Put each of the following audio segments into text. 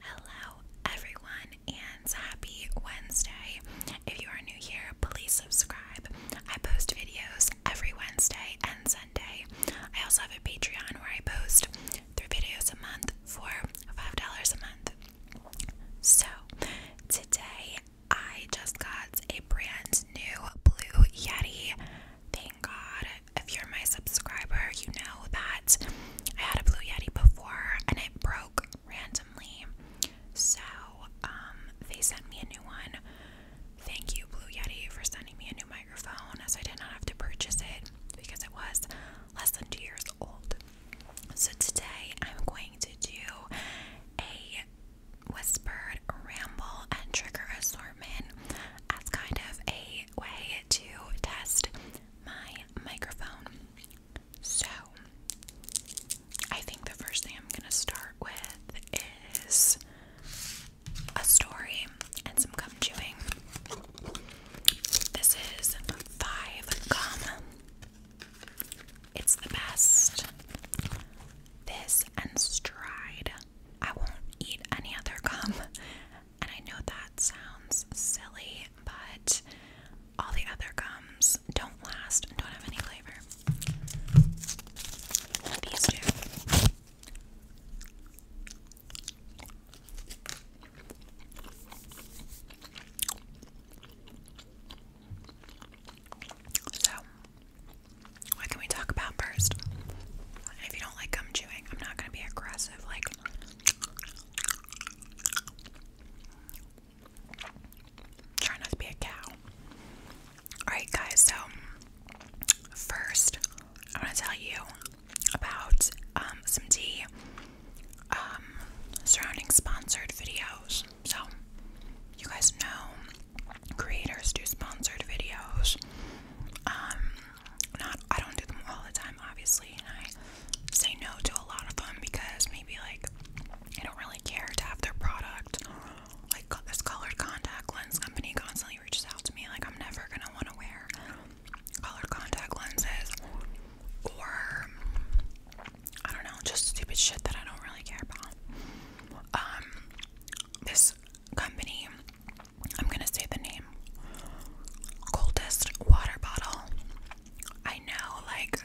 Hello, everyone, and happy Wednesday. If you are new here, please subscribe. I post videos every Wednesday and Sunday. I also have a Patreon where I post three videos a month for $5 a month. So, today I just got a brand new Blue Yeti. Thank God. If you're my subscriber, you know that I had a Blue Yeti before and it broke randomly. So, um, they sent me a new one. Thank you, Blue Yeti, for sending me a new microphone as I did not have to purchase it because it was less than two years old. So, today I'm going to do a whispered ramble and trigger assortment as kind of a way to test my microphone. So, I think the first thing I'm going to start with is a story and some gum chewing. This is five gum. It's the best. This and stride. I won't eat any other gum and I know that sounds silly, but all the other gums don't last and don't have any flavor. These do. So, what can we talk about first? If you don't like gum chewing, I'm not going to be aggressive, like Try not to be a cow. Alright, guys, so first, I want to tell you about um, some tea um, surrounding sponsored videos. So, you guys know creators do sponsored videos. Um, not I don't do them all the time, obviously, and I say no to a lot of them because maybe like I don't really care to have their product. Like this colored contact lens company constantly reaches out to me, like I'm never gonna want to wear colored contact lenses or I don't know, just stupid shit that I don't really care about. Um, this company, I'm gonna say the name, Coldest Water Bottle. I know, like,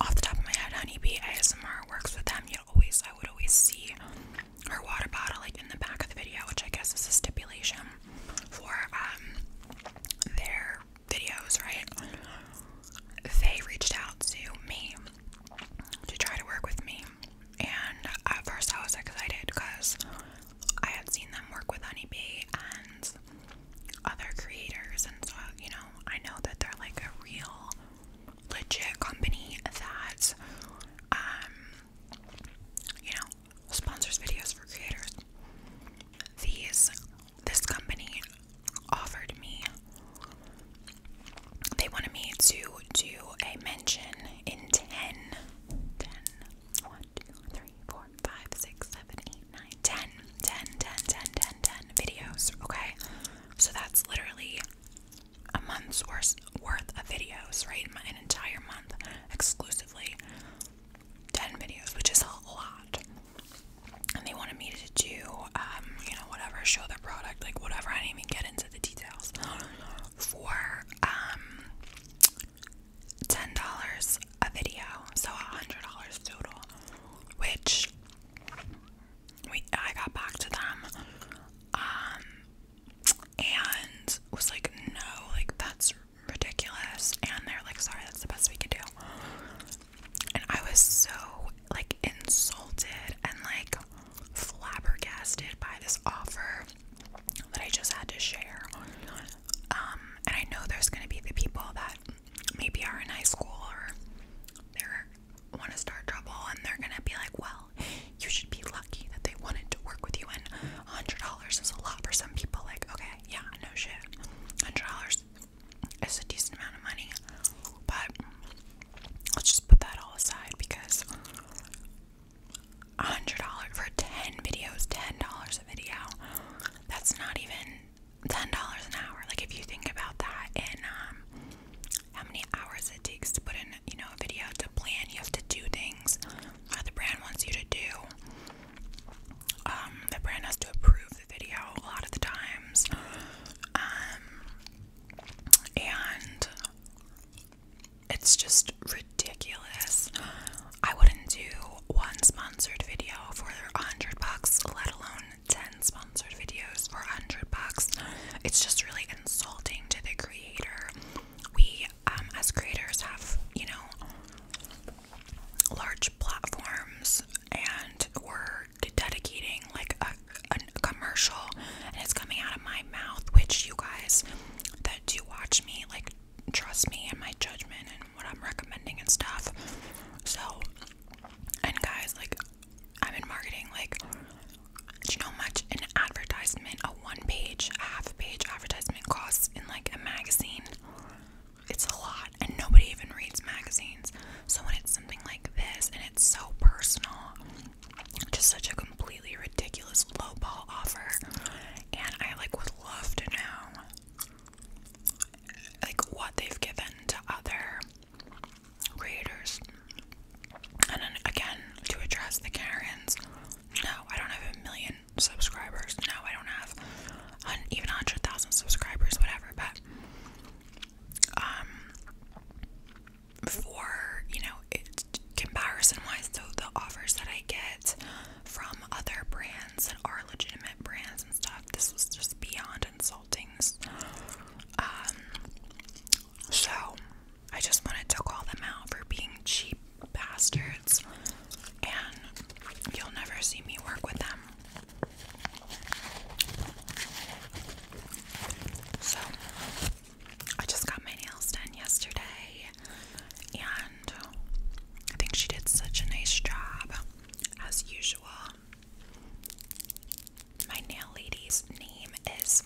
off the top of my head, Honeybee ASMR works with them. You always, I would always see her water bottle, like, in the back of the video, which I guess is a stipulation for um, their videos, right? They reached out to me to try to work with me, and at first I was excited because I had seen them work with Honeybee and other creators, and so you know, I know that they're like a real legit company that, um, you know, sponsors videos for creators. These, this company offered me, they wanted me to do a mention in 10, 10, three, four, five, six, seven, eight, nine, ten, ten, ten, ten, ten, ten videos. Okay, so that's literally a month's worth worth of videos, right? An entire month exclusively ten videos, which is a lot. And they wanted me to do, um, you know, whatever, show their product, like whatever. I didn't even get into the details for um ten dollars a video, so a hundred dollars total. Which we I got back to them, um, and was like, no, like that's ridiculous. And they're like, sorry, that's the best we could do. And I was so like insulted and like flabbergasted by this offer that I just had to share. Um, and I know there's going to be the people that maybe are in high school or they want to start trouble and they're going to be like, well, you should be lucky that they wanted to work with you. And $100 is a lot for some people. Like, okay, yeah, no shit. $100 is a decent amount of money. But let's just put that all aside because $100 for 10 videos, $10 a video. That's not even $10 an hour. Like if you think about that and um, how many hours it takes to put in, you know, a video to plan, you have to do things that the brand wants you to do. Um, the brand has to approve the video a lot of the times. Um, and it's just ridiculous. I wouldn't do one sponsored video for a hundred bucks, let alone ten sponsored videos for a hundred bucks. It's just really insulting to the creator. We, um, as creators, have you know large platforms, and we're dedicating like a commercial and it's coming out of my mouth which you guys that do watch me like trust me and my judgment what I'm recommending and stuff. So, and guys, like, I'm in marketing, like, do you know much an advertisement, a one page, half page advertisement costs in like a magazine? It's a lot, and nobody even reads magazines. So, when it's something like this and it's so personal, just such a completely ridiculous lowball offer, and I like would love to know like what they've given to other creators. And then again, to address the Karens, no, I don't have a million subscribers. No, I don't have un even 100,000 subscribers, whatever. But um, for you know, comparison wise, so the offers that I get from other brands that are legitimate brands and stuff. This was just beyond insulting. Um, so I just wanted to call them out for being cheap bastards, and you'll never see me work with them. So I just got my nails done yesterday and I think she did such a nice job as usual. My nail lady's name is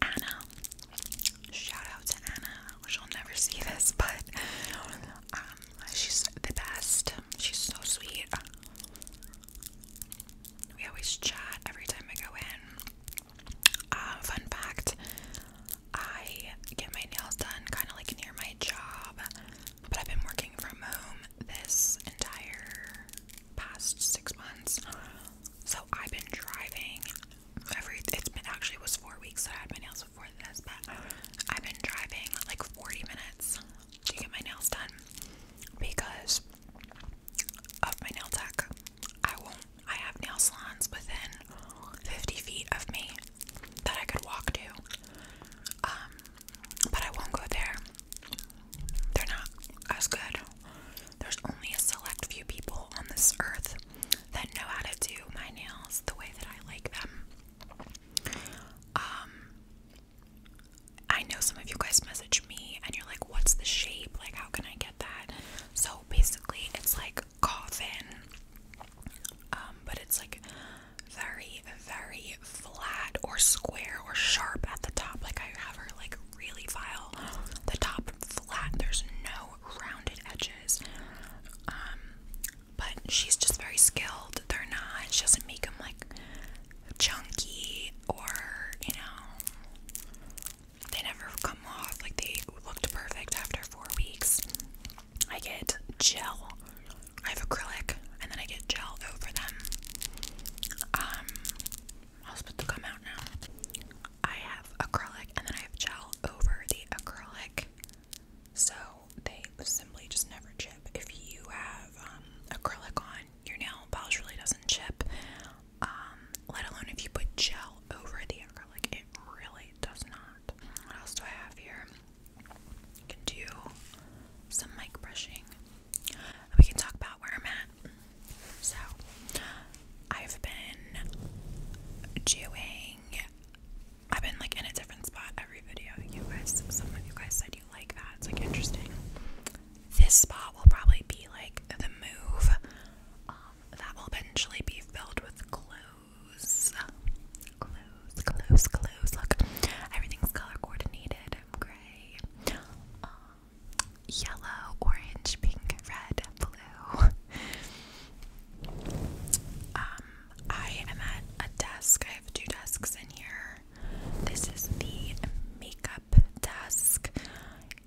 Anna. Shout out to Anna. She'll never see this, but um, she's the best. She's so sweet. We always chat every time I go in. Uh, fun fact I get my nails done kind of like near my job, but I've been working from home this entire past six months. So I've been driving every, it's been actually it was four weeks that I had my nails before this, but I've been driving like 40 minutes to get my nails done because of my nail tech. I won't, I have nail salons within 50 feet of me that I could walk to. Um, but I won't go there. They're not as good. There's only a select few people on this earth that know how to do my nails the way that I like them. Um, I know some of you guys message me and you're like, what's the shape? Like, how can I get that? So basically, it's like coffin. Um, but it's like very, very flat or square or sharp at the top. Like I have her like really file the top flat. There's no rounded edges. Um, but she's just very skilled. They're not. She doesn't make them like chunky or you know. They never come off. Like they looked perfect after four weeks. I get gel. I have acrylic, and then I get gel over them. Um, I'll put the come out now. I have acrylic, and then I have gel over the acrylic, so they simply just never chip. If you have um, acrylic on, your nail polish really doesn't chip. Um, let alone if you put gel over the acrylic, it really does not. What else do I have here? We can do some mic brushing. We can talk about where I'm at. So, I've been doing. I've been like in a different spot every video. You guys, some you guys said you like that. It's like interesting. This spot will probably be like the move. Um, that will eventually be filled with clothes close, close, close, close. Look, everything's color coordinated. I'm Gray, um, yellow, orange, pink, red, blue. Um, I am at a desk. I have two desks in here. This is the makeup desk,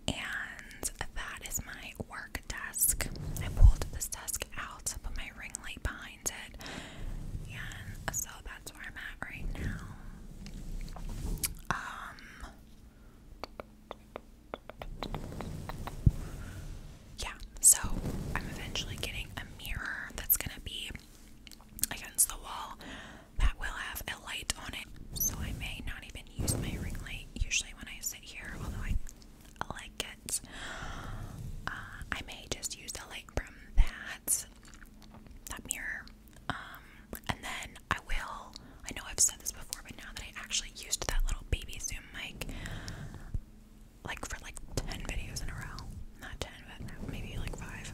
and that is my work desk. I pulled this desk out to put my ring light behind mindset. so that's where I'm at right now. Um, yeah, so I'm eventually getting a mirror that's gonna be against the wall that will have a light on it. So I may not even use my ring light usually when I sit here, although I like like uh, I may just use the light from that that mirror. Um, and then I will. I know I've said this before, but now that I actually used that little baby Zoom mic, like for like ten videos in a row, not ten, but maybe like five.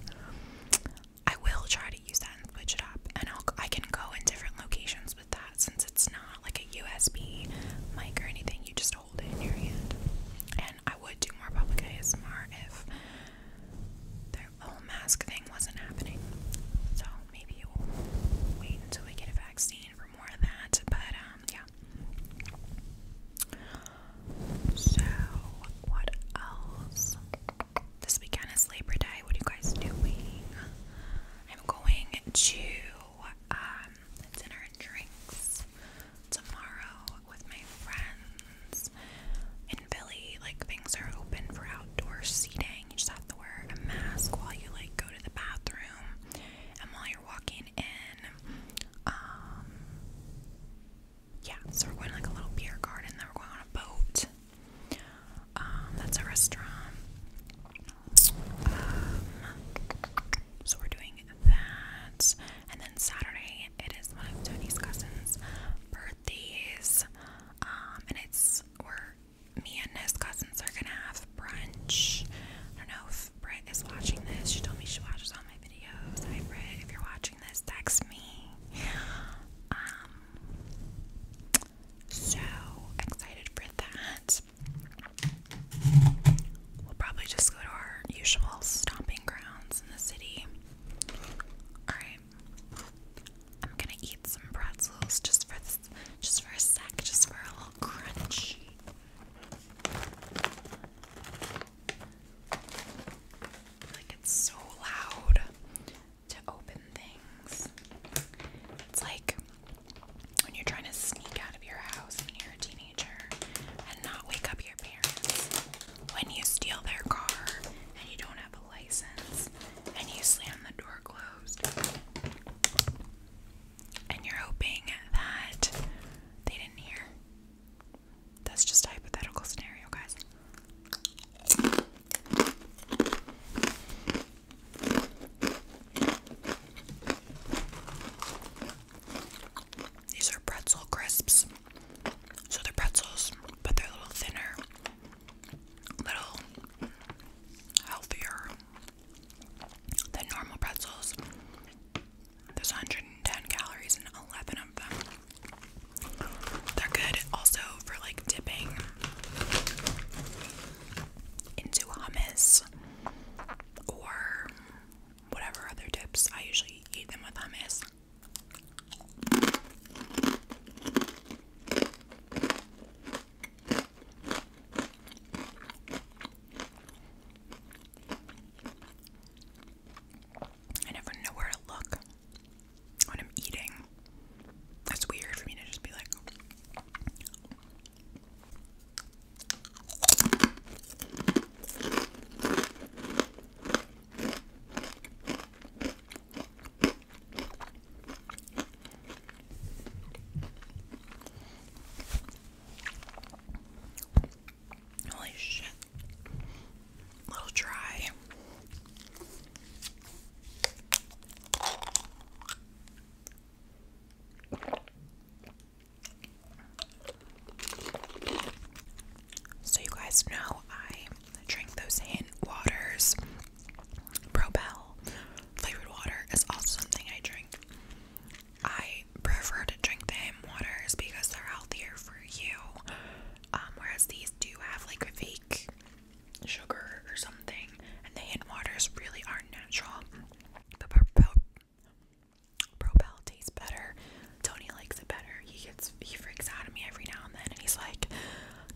I will try to use that and switch it up, and I'll I can go in different locations with that since it's not like a USB mic or anything. You just hold it in your hand. And I would do more public ASMR if the whole mask thing wasn't happening. So maybe we'll wait until we get a vaccine for more of that. But um, yeah. So what else? This weekend is Labor Day. What are you guys doing? I'm going to um, dinner and drinks tomorrow with my friends in Philly. Like things are open for outdoor seating. You just have to wear a mask while you like go to the bathroom and while you're walking in. Um yeah, so we're going to like a little beer garden, then we're going on a boat. Um, that's a restaurant. Um so we're doing that. And then Saturday, it is one of Tony's cousins' birthdays. Um, and it's where me and his cousins are gonna have brunch. I don't know if Britt is watching this. She told me she watches all my videos. Hi Britt, if you're watching this, text me. Um, so excited for that we'll probably just go to our usual stomping grounds in the city. Alright. I'm gonna eat some pretzels just for this just for a sec, just for a little crunchy. Like it's so loud to open things. It's like when you're trying to sneak out of your house and you a teenager and not wake up your parents when you steal their car and you don't have a license and you slam the door closed and you're hoping that they didn't hear. That's just a hypothetical scenario, guys. These are pretzel crisps. So they're pretzels, but they're a little thinner, little healthier than normal pretzels. There's 110 calories in 11 of them. They're good also for like dipping into hummus or whatever other dips. I usually eat them with hummus. I never know where to look when I'm eating. That's weird for me to just be like, Holy shit. A little dry. So, you guys know I drink those hint waters. Propel flavored water is also something I drink. I prefer to drink the hint waters because they're healthier for you. Um, whereas these do have like a fake sugar or something, and the hint waters really are natural. But propel, Propel tastes better. Tony likes it better. He gets he freaks out at me every now and then, and he's like,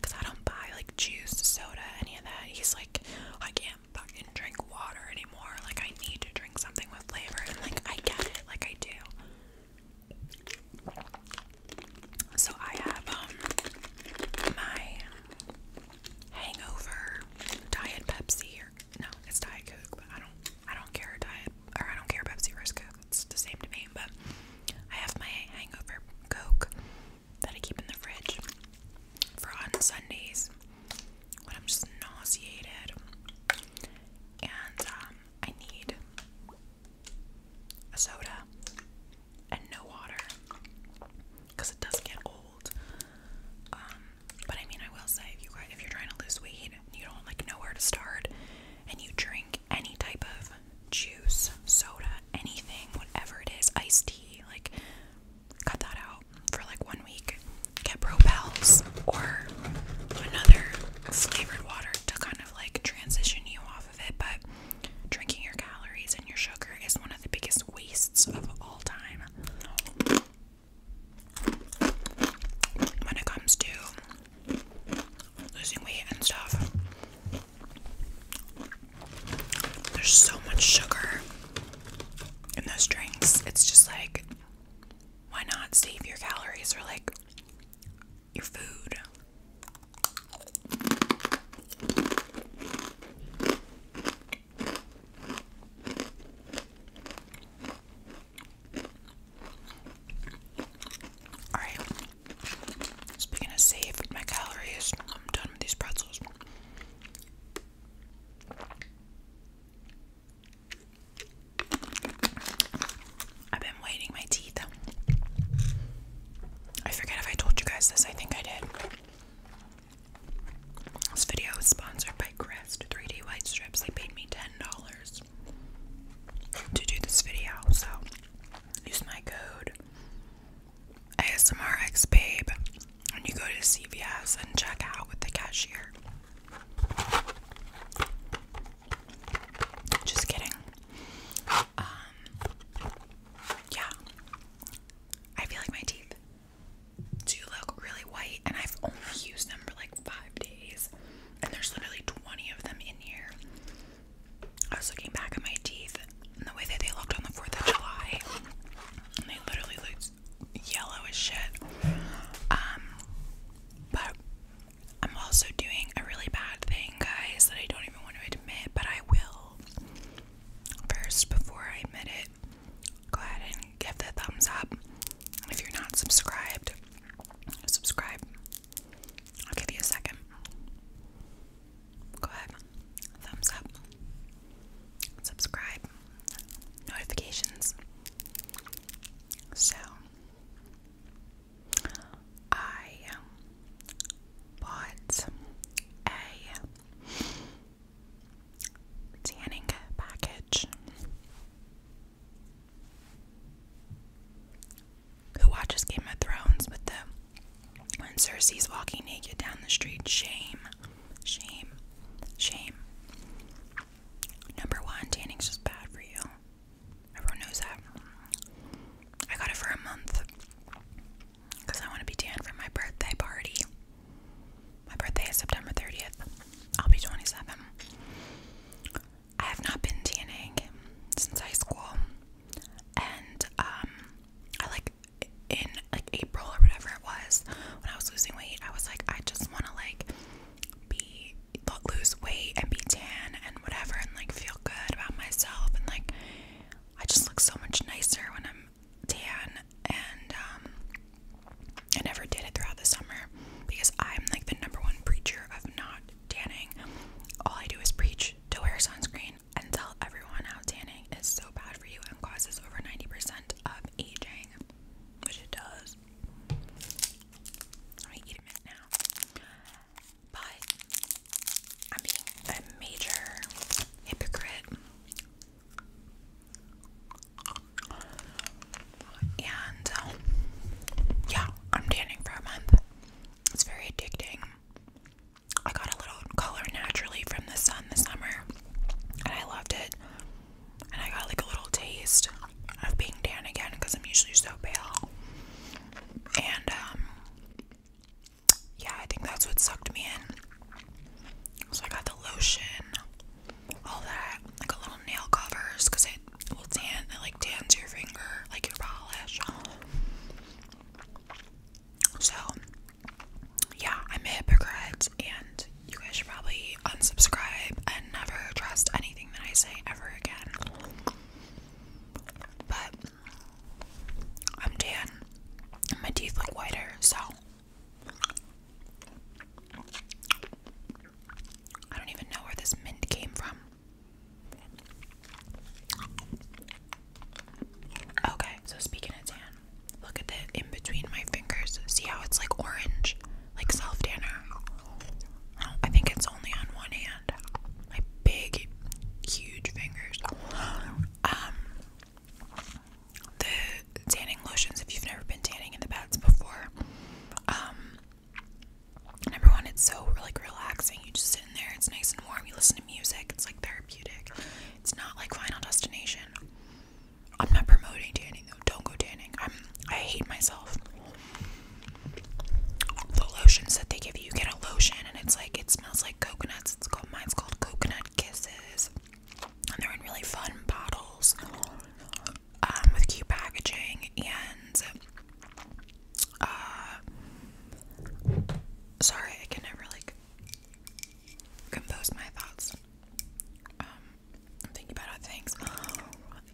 "Cause I don't buy like juice, soda, any of that." He's like, "I can't fucking drink water anymore. Like I need to drink something with flavor." And like I get it, like I do. So I have um my hangover diet Pepsi or no, it's Diet Coke, but I don't I don't care diet or I don't care Pepsi versus Coke. It's the same to me, but I have my hangover Coke that I keep in the fridge for on Sundays when I'm just nauseated. And um, I need a soda and no water because it doesn't get old. Um, but I mean, I will say, if you if you're trying to lose weight, you don't like know where to start, and you drink any type of juice, soda, anything, whatever it is, iced tea, like cut that out for like one week. Get Propels or another flavored water to kind of like transition you off of it. But drinking your calories and your sugar is one of the biggest wastes of all time when it comes to losing weight and stuff. There's so much sugar in those drinks. It's just like, why not save your calories for like your food? Alright. Speaking of save my calories, I'm done with these pretzels. I've been whitening my teeth. I forget if I told you guys this, I think I did. This video is sponsored by Crest 3D White Strips. They paid me $10 to do this video, so use my code ASMRXBabe when you go to CVS and check out with the cashier. Just kidding. Um, yeah. I feel like my teeth do look really white, and I've only used them for like five days, and there's literally 20 of them in here. I was looking back at my teeth and the way that they looked on the 4th of July, and they literally looked yellow as shit. Um, but I'm also doing a really bad thing, guys, that I don't even want to admit, but I will. First, before I admit it, go ahead and give the thumbs up. if you're not subscribed, subscribe. I'll give you a second. Go ahead, thumbs up, subscribe, notifications. So, I bought a tanning package who watches Game of Thrones But the when Cersei's walking naked down the street? Shame, shame, shame. Number one, tanning's just bad for you. Everyone knows that. I got it for a month because I want to be tan for my birthday party. My birthday is September 30th. I'll be 27. I have not been TNAing since high school, and um, I like in like April or whatever it was when I was losing weight. I was like, I just want to like be lose weight and be tan and whatever, and like feel good about myself, and like I just look so much nicer when I'm tan, and um, I never did it throughout the summer because I'm like the number one preacher of not tanning. All I do is preach to wear sunscreen and tell everyone how tanning is so bad for you and causes over 90% of aging, which it does. I'm eat a minute now. But I'm being a major hypocrite and um, yeah, I'm tanning for a month. It's very addicting. I got a little color naturally from the sun this summer, and I loved it. And I got like a little taste of being tan again because I'm usually so pale. And um, yeah, I think that's what sucked me in. So I got the lotion all that, like a little nail covers, it will tan, it like tans your finger, like your polish. So, yeah, I'm a hypocrite, and you guys should probably unsubscribe and never trust anything that I say ever again. But I'm tan, my teeth look whiter, so. I don't even know where this mint came from. Okay, so speaking of tan, look at that in between my fingers. See how it's like orange, like self tanner. Oh, I think it's only on one hand. My big, huge fingers. Um, the tanning lotions. If you've never been tanning in the beds before, um, number one, it's so like relaxing. You just sit in there. It's nice and warm. You listen to music. It's like therapeutic. It's not like Final Destination. I'm not promoting tanning though. Don't go tanning. I'm. I hate myself. The lotions that they give you get a lotion, and it's like it smells like coconuts. It's called mine's called Coconut Kisses, and they're in really fun bottles um, with cute packaging and uh, sorry, I can never like compose my thoughts. Um, I'm thinking about things.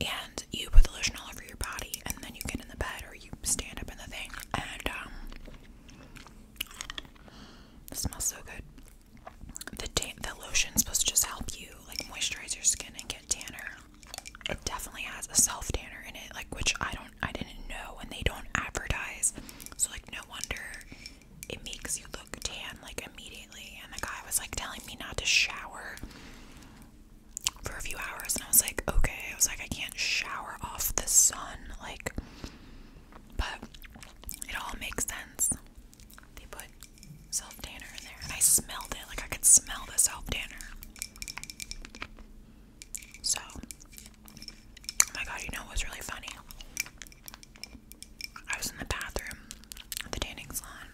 And you put the lotion all over your body, and then you get in the bed or you stand up in the thing, and um, it smells so good. The, the lotion's supposed to just help you like moisturize your skin and get tanner. It definitely has a self tanner in it, like which I don't, I didn't know, and they don't advertise. So like, no wonder it makes you look tan like immediately. And the guy was like telling me not to shower for a few hours, and I was like, okay. I was like, I can't shower off the sun, like. But it all makes sense. They put self tanner in there, and I smelled it. Like I could smell the self tanner. So, oh my god, you know what's really funny? I was in the bathroom at the tanning salon,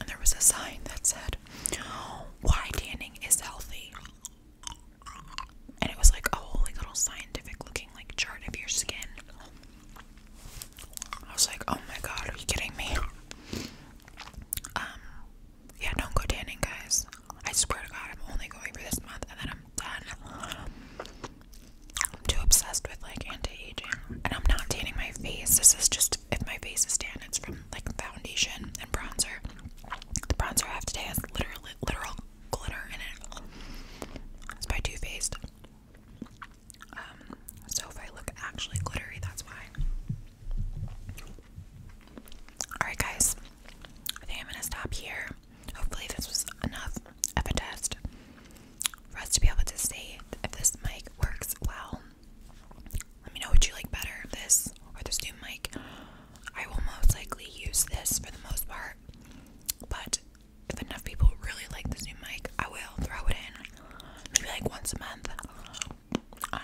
and there was a sign that said, "Why tanning is healthy." And it was like a whole little scientific looking like chart of your skin. I was like, oh my god, are you kidding me? Um, yeah, don't go tanning, guys. I swear to god, I'm only going for this month and then I'm done. I'm too obsessed with like anti-aging. And I'm not tanning my face. This is just if my face is tan, it's from like foundation and bronzer. The bronzer I have today has literally literal glitter in it. It's by Too Faced. Um, so if I look actually glittery, that's why. Alright, guys, I think I'm gonna stop here. Hopefully, this was enough of a test for us to be able to see if this mic works well. Let me know what you like better this or this new mic. I will most likely use this for the most part, but if enough people really like this new mic, I will throw it in maybe like once a month. Um,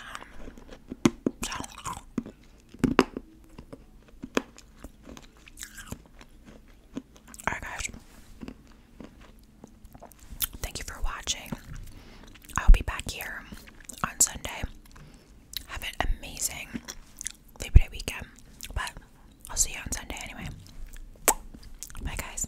alright guys. Thank you for watching. I'll be back here on Sunday. Have an amazing Labor Day weekend. But I'll see you on Sunday anyway. Bye guys.